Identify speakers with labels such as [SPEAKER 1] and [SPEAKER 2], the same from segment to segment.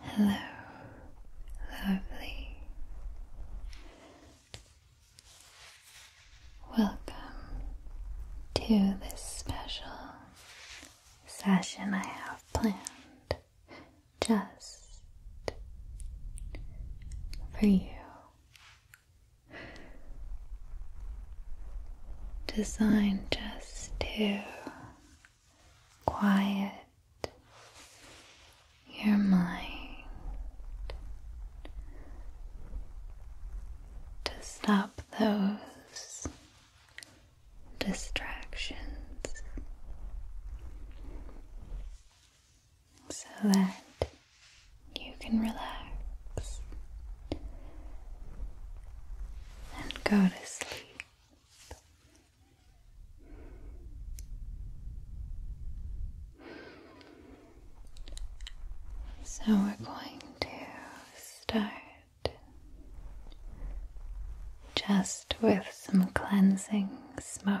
[SPEAKER 1] Hello, lovely. Welcome to this special session I have planned just for you designed just to quiet your mind, to stop those distractions so that you can relax and go to sleep. So we're going to start just with some cleansing smoke.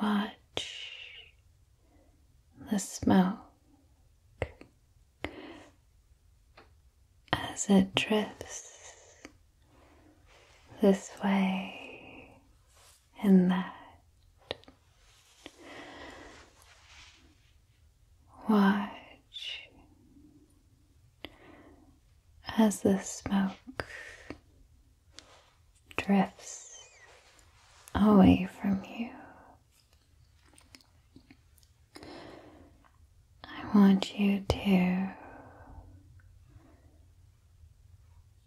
[SPEAKER 1] Watch the smoke as it drifts this way and that. Watch as the smoke drifts away from you. I want you to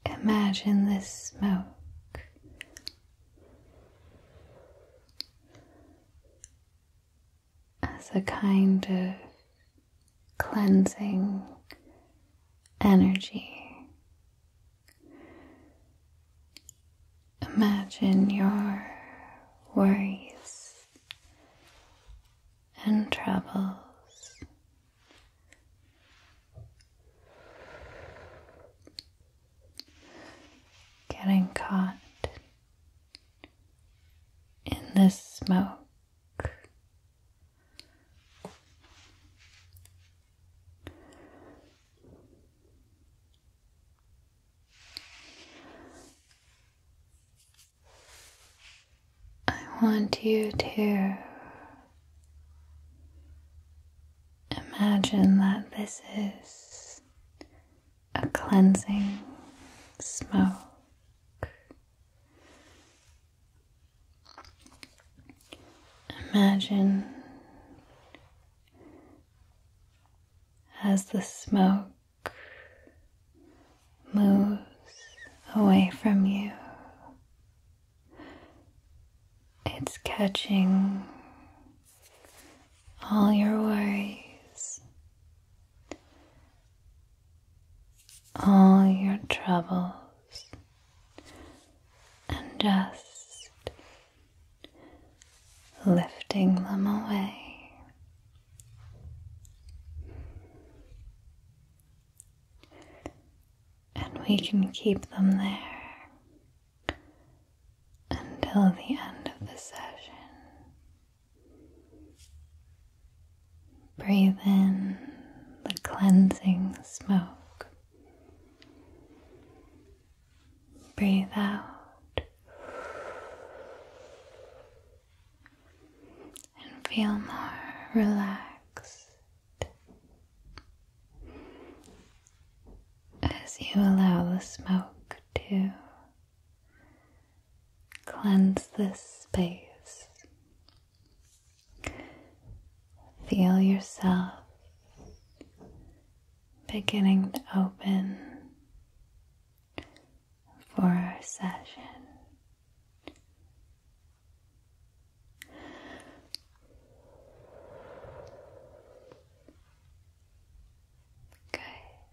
[SPEAKER 1] imagine this smoke as a kind of cleansing energy. Imagine your worries and troubles getting caught in this smoke. I want you to imagine that this is a cleansing smoke. Imagine as the smoke moves away from you, it's catching all your worries, all your troubles, and just lifting them away. And we can keep them there until the end of the session. Breathe in the cleansing smoke. Breathe out. And feel more relaxed as you allow the smoke to Cleanse this space. Feel yourself beginning to open for our session. Good.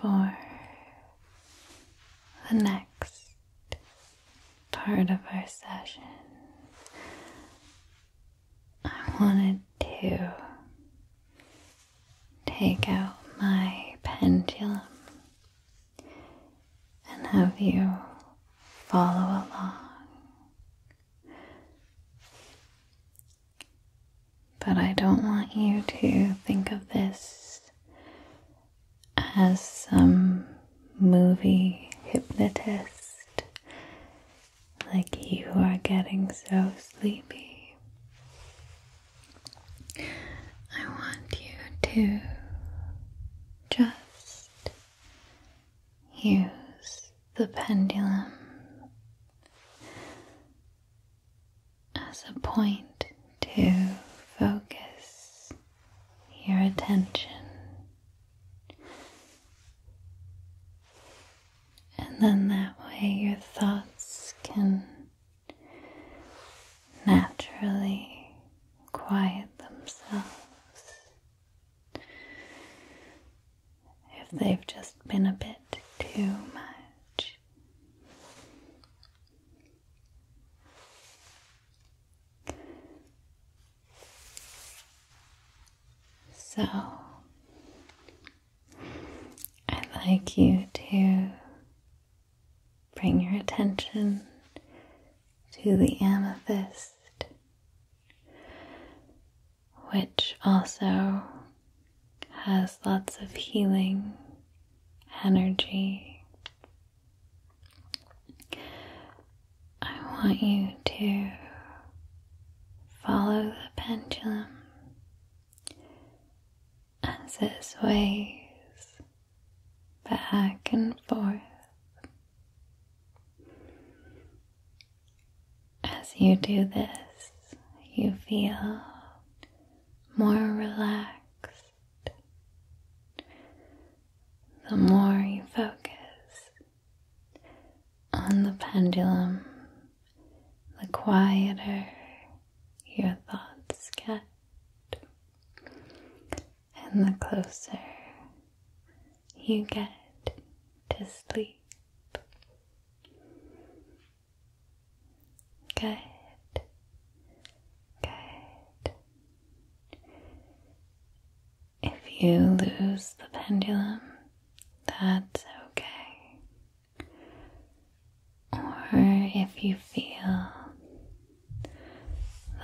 [SPEAKER 1] for the next part of our session, I wanted to take out my pendulum and have you follow along. But I don't want you to think of this as some movie hypnotist, like you are getting so sleepy. I want you to just use the pendulum as a point to focus your attention. And then that way your thoughts can naturally quiet themselves if they've just been a bit too much. So, I'd like you to bring your attention to the amethyst, which also has lots of healing energy. I want you to follow the pendulum as it sways back and forth. As you do this, you feel more relaxed, the more you focus on the pendulum, the quieter your thoughts get, and the closer you get to sleep. Good. Good. If you lose the pendulum, that's okay. Or if you feel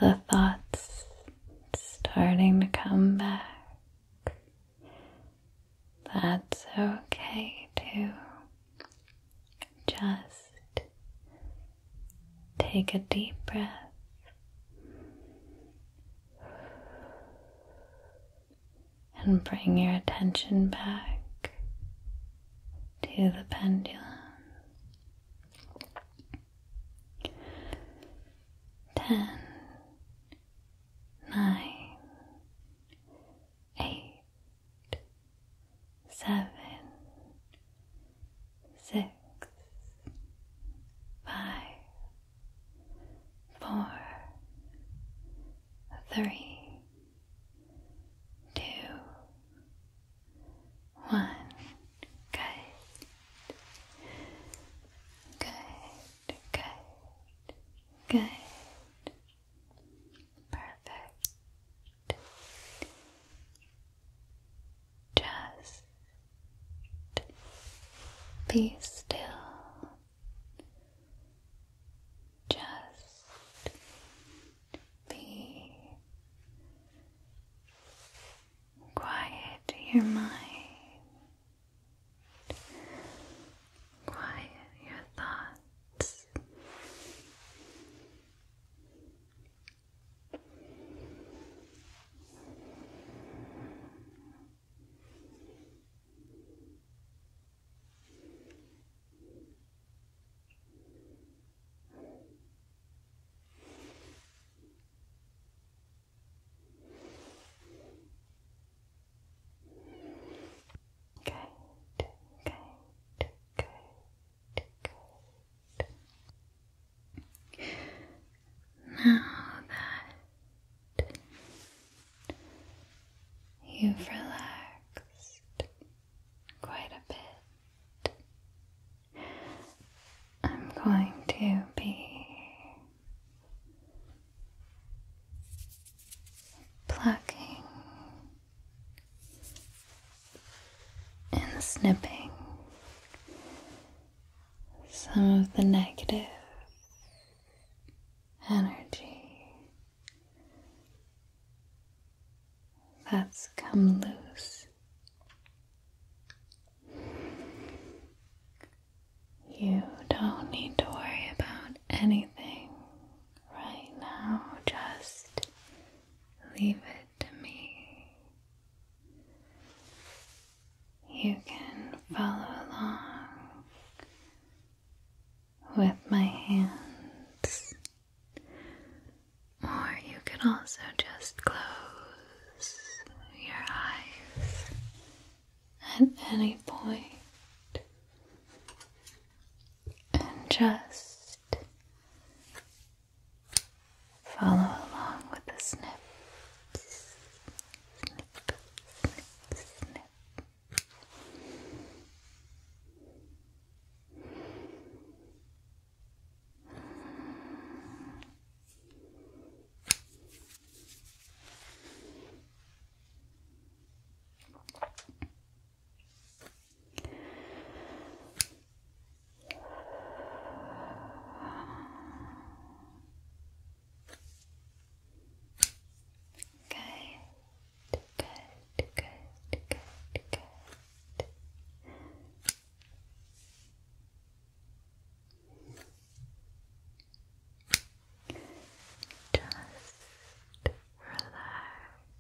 [SPEAKER 1] the thoughts starting to come back, that's okay too. Just take a deep breath. And bring your attention back to the pendulum. Ten, nine, eight, seven, six, five, four, three, two, one. Good, good, good, good. Perfect. Just be still. Just be quiet your mind quiet your thoughts. Relax. Good, good, good, good. Now that you've relaxed quite a bit, I'm going to be plucking and snipping some of the negative energy that's come loose. You don't need to worry about anything right now, just leave it to me. You can follow along with my hands, or you can also just close your eyes at any point and just follow along with the snips. Snip, snip, snip. Good, good, good, good, good. Just relax.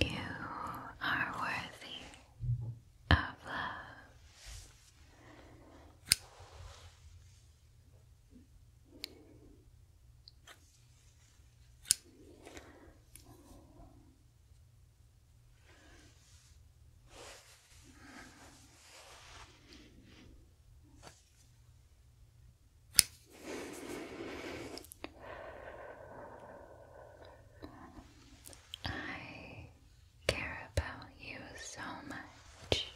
[SPEAKER 1] You are worthy of love. I care about you so much.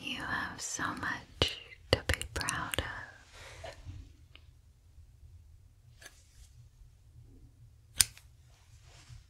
[SPEAKER 1] You have so much to be proud of.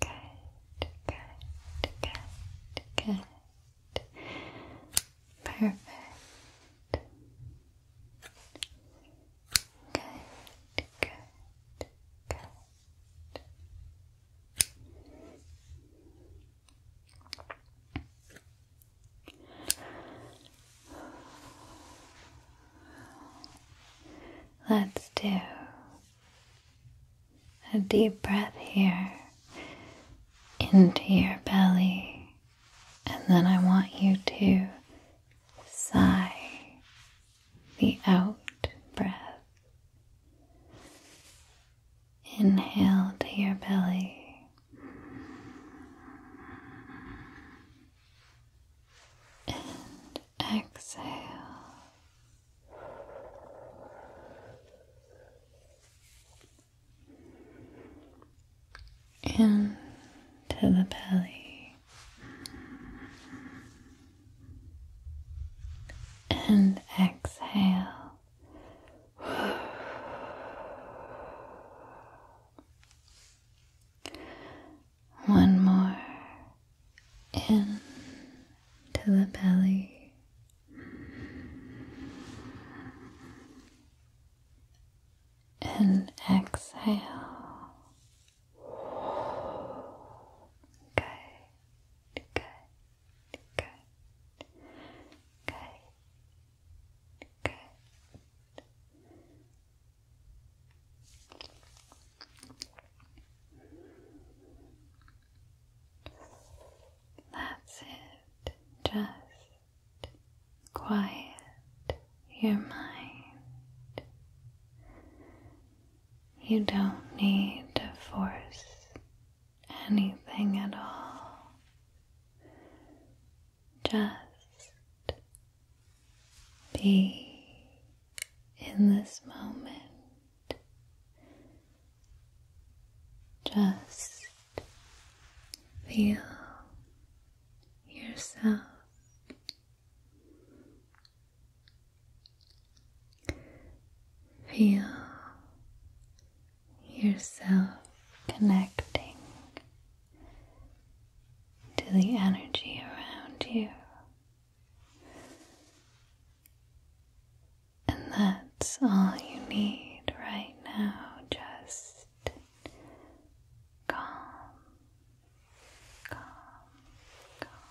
[SPEAKER 1] Good, good, good, good. Perfect. Good, good, good. Let's do a deep breath here into your belly, and then I want you to sigh the out breath. Inhale to your belly. And exhale. Into the belly and exhale. One more in to the belly. And exhale. Good, good. Good. Good. Good. That's it. Just quiet your mind. You don't need to force anything at all. Just be in this moment. Just feel yourself Feel yourself connecting to the energy around you, and that's all you need right now. Just calm, calm, calm.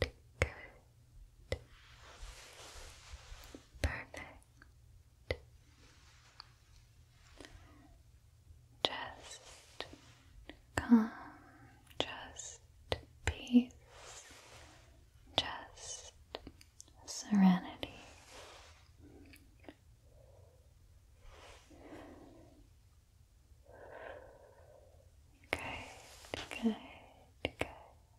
[SPEAKER 1] Good. Perfect. Just calm, just peace, just serenity. Good, good, good.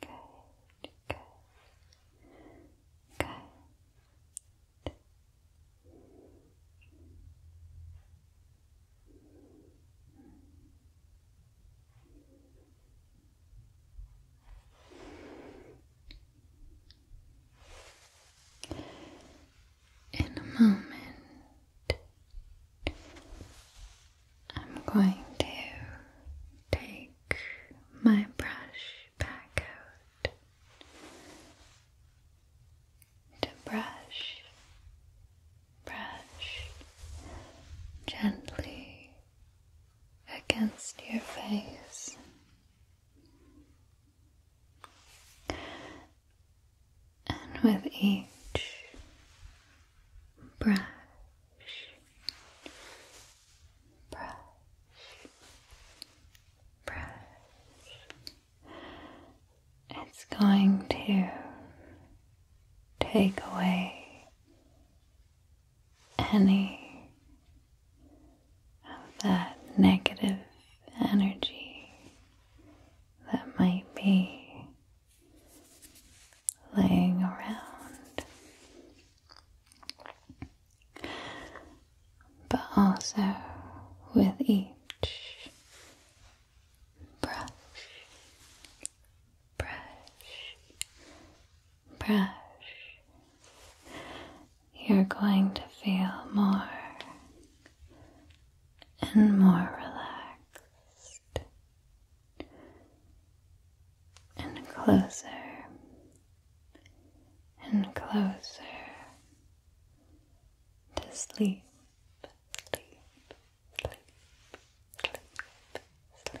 [SPEAKER 1] Good, good, good. In a moment, I'm going to take my brush back out to brush, brush gently against your face. And with each brush, brush, brush. It's going to take away any of that negative energy that might be laying around, but also with each brush, brush, brush, you're going to feel more and more relaxed and closer and closer to sleep, sleep, sleep, sleep, sleep.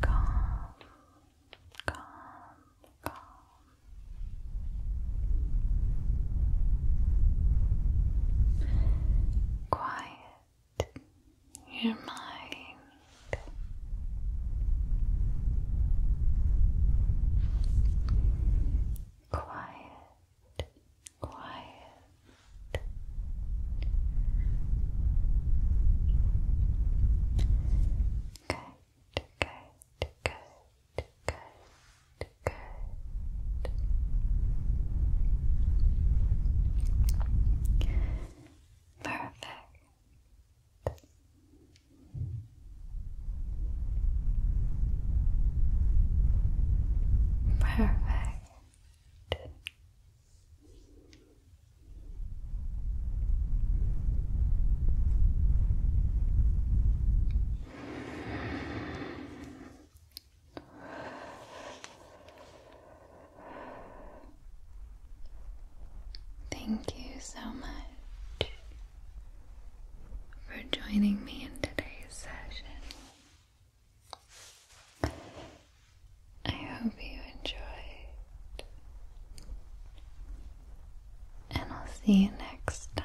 [SPEAKER 1] Calm, calm, calm. Quiet your mind quiet, quiet. Good, good, good, good, good. Perfect. Perfect. Thank you so much for joining me in today's session. I hope you enjoyed, and I'll see you next time.